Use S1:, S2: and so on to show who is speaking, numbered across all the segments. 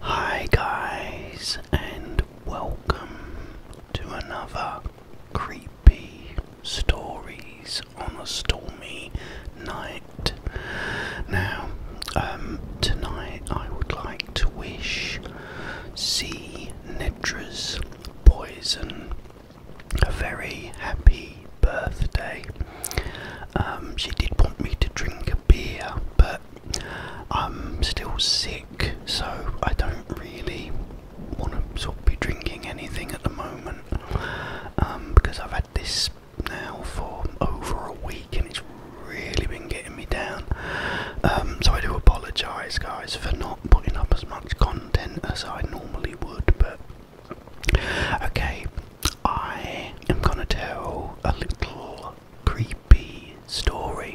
S1: Hi, guys, and welcome to another creepy stories on a stormy night. Now, um, tonight I would like to wish C. Nitra's Poison a very happy birthday. Um, she did want me to drink a beer, but I'm still sick, so I don't really want to sort of be drinking anything at the moment um, because I've had this now for over a week and it's really been getting me down. Um, so I do apologise, guys, for not putting up as much content as I normally would, but Okay, I am gonna tell a little creepy story.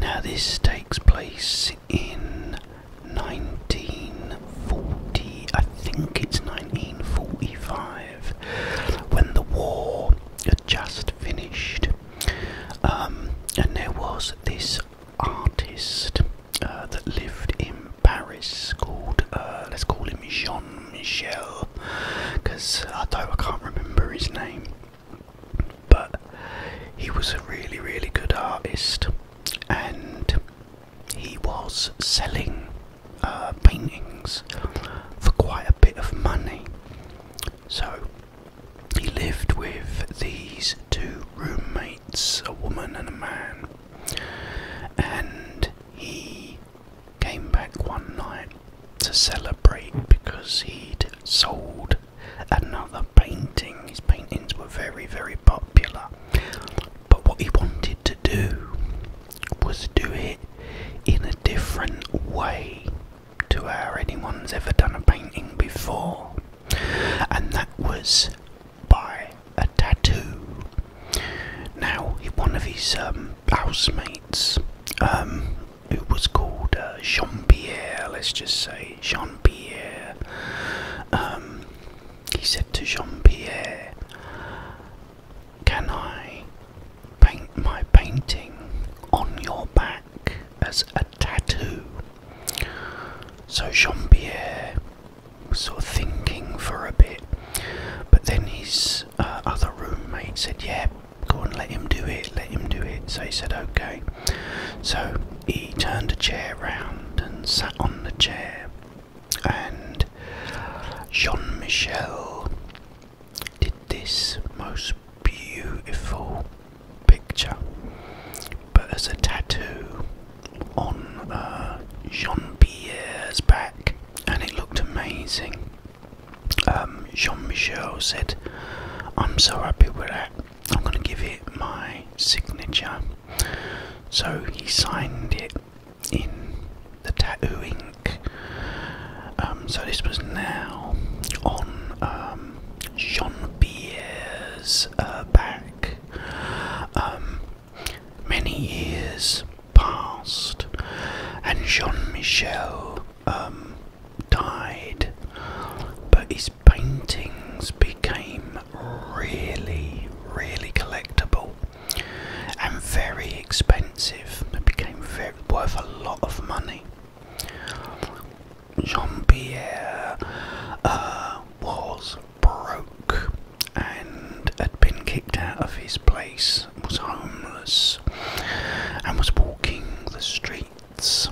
S1: Now, this takes place in 1940, I think it's 1945, when the war had just finished. Um, and there was this artist uh, that lived in Paris called, uh, let's call him Jean Michel, because I don't, I can't remember his name. But he was a really, really good artist, and he was selling uh, paintings for quite a bit of money. So he lived with these two roommates it's a woman and a man, and he came back one night to celebrate because he'd sold another painting. His paintings were very, very popular, but what he wanted to do was do it in a different way to how anyone's ever done a painting before, and that was by a tattoo. Now, one of his um, housemates, um, who was called uh, Jean Pierre, let's just say Jean Pierre, um, he said to Jean Pierre, Can I paint my painting on your back as a tattoo? So Jean Pierre sort of thinking for a bit. But then his uh, other roommate said, Yeah, go on, let him do it, let him do it. So he said, Okay. So he turned a chair round and sat on the chair. And Jean Michel did this most beautiful picture, but as a tattoo on uh, Jean Pierre's back, and it looked amazing. Um, Jean Michel said, I'm so happy with that, I'm going to give it my signature. So he signed it in the tattoo ink. Um, so this was now on um, Jean Pierre's uh, back, um, many years passed, and Jean Michel um, died, but his paintings became really, really collectible and very expensive. They became worth a lot of money. Jean-Pierre uh, was broke and had been kicked out of his place, was homeless, and was walking the streets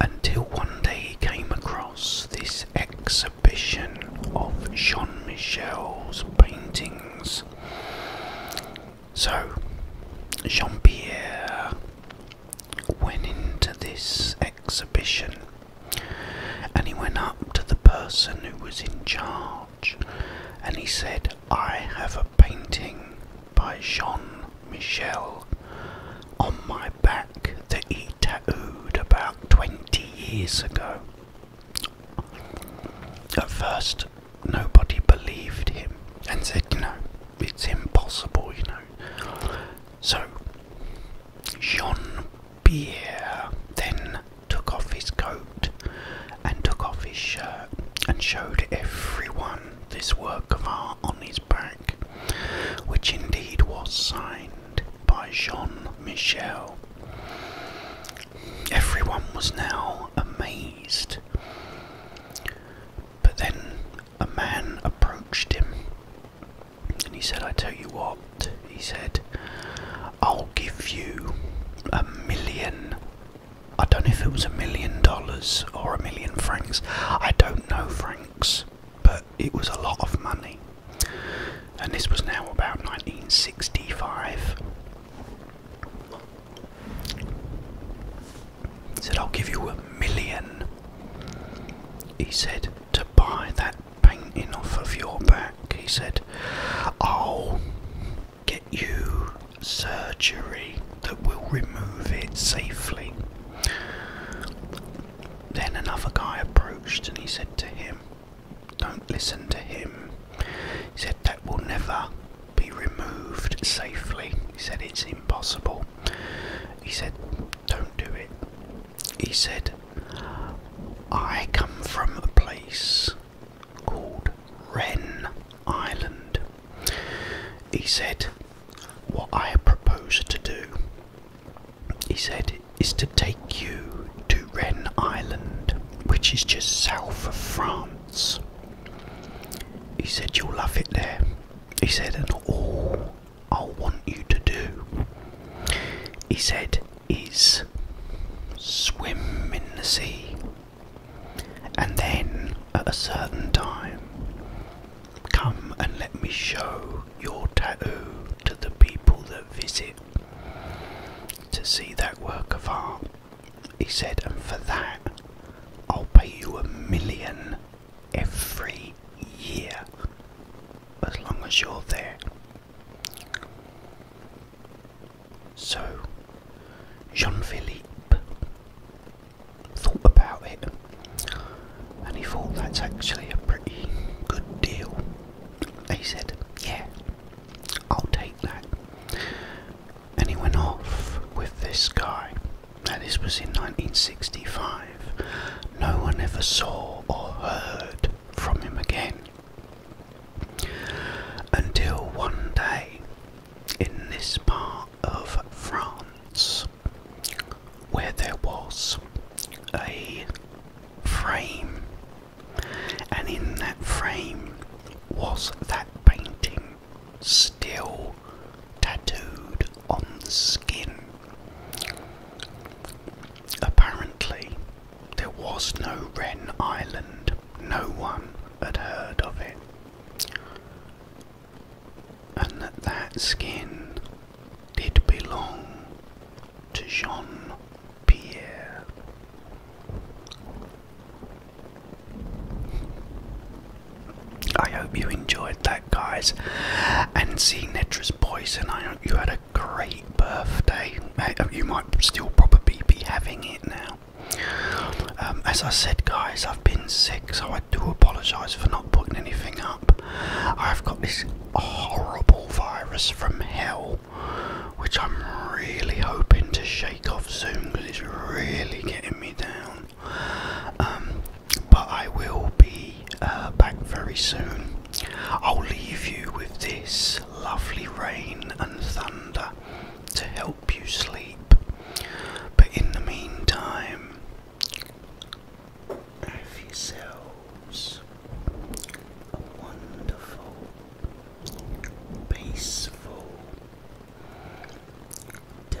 S1: until one day he came across this exhibition of Jean Michel's paintings. So, Jean Pierre went into this exhibition and he went up to the person who was in charge and he said, I have a painting by Jean Michel on my back that he tattooed about 20 years ago. At first, nobody believed him and said, you know, it's impossible, you know. So, Jean Pierre then took off his coat and took off his shirt and showed everyone this work of art on his back, which indeed was signed by Jean Michel. Everyone was now amazed. But then a man approached him and he said, I tell you what, he said, I'll give you a million. I don't know if it was a million dollars or a million francs. I don't know francs, but it was a lot of money. And this was now about 1965. He said, I'll give you a million. He said, to buy that painting off of your back. He said, I'll get you surgery that will remove it safely. Then another guy approached and he said to him, Don't listen to him. He said that will never be removed safely. He said it's impossible. He said, don't do it. He said, I come from a place called Wren Island. He said, what I propose to do, he said, is to take you to Wren Island, which is just south of France. He said, You'll love it there. He said, And all I want you to do, he said, is swim in the sea. And then at a certain time, come and let me show your tattoo to the people that visit to see that work of art. He said, and for that, I'll pay you a million every year as long as you're there. So, Jean Philippe thought about it and he thought that's actually a pretty good deal. He said, Yeah, I'll take that. And he went off with this guy. And this was in 1965. No one ever saw or heard from him again. Until one day, in this part of France, where there was a frame and in that frame was that painting still tattooed on the skin. Apparently, there was no Wren Island, no one had heard of it, and that that skin did belong to Jean Pierre. I hope you enjoyed that, guys. And seeing Netra's poison, I hope you had a great birthday. You might still probably be having it now. Um, as I said, guys, I've been sick, so I do apologise for not putting anything up. I've got this horrible virus from hell which I'm really hoping to shake off soon because it's really getting me down. Um, but I will be uh, back very soon. I'll leave you with this lovely rain and thunder to help you sleep. But in the meantime, have yourself a wonderful, peaceful day.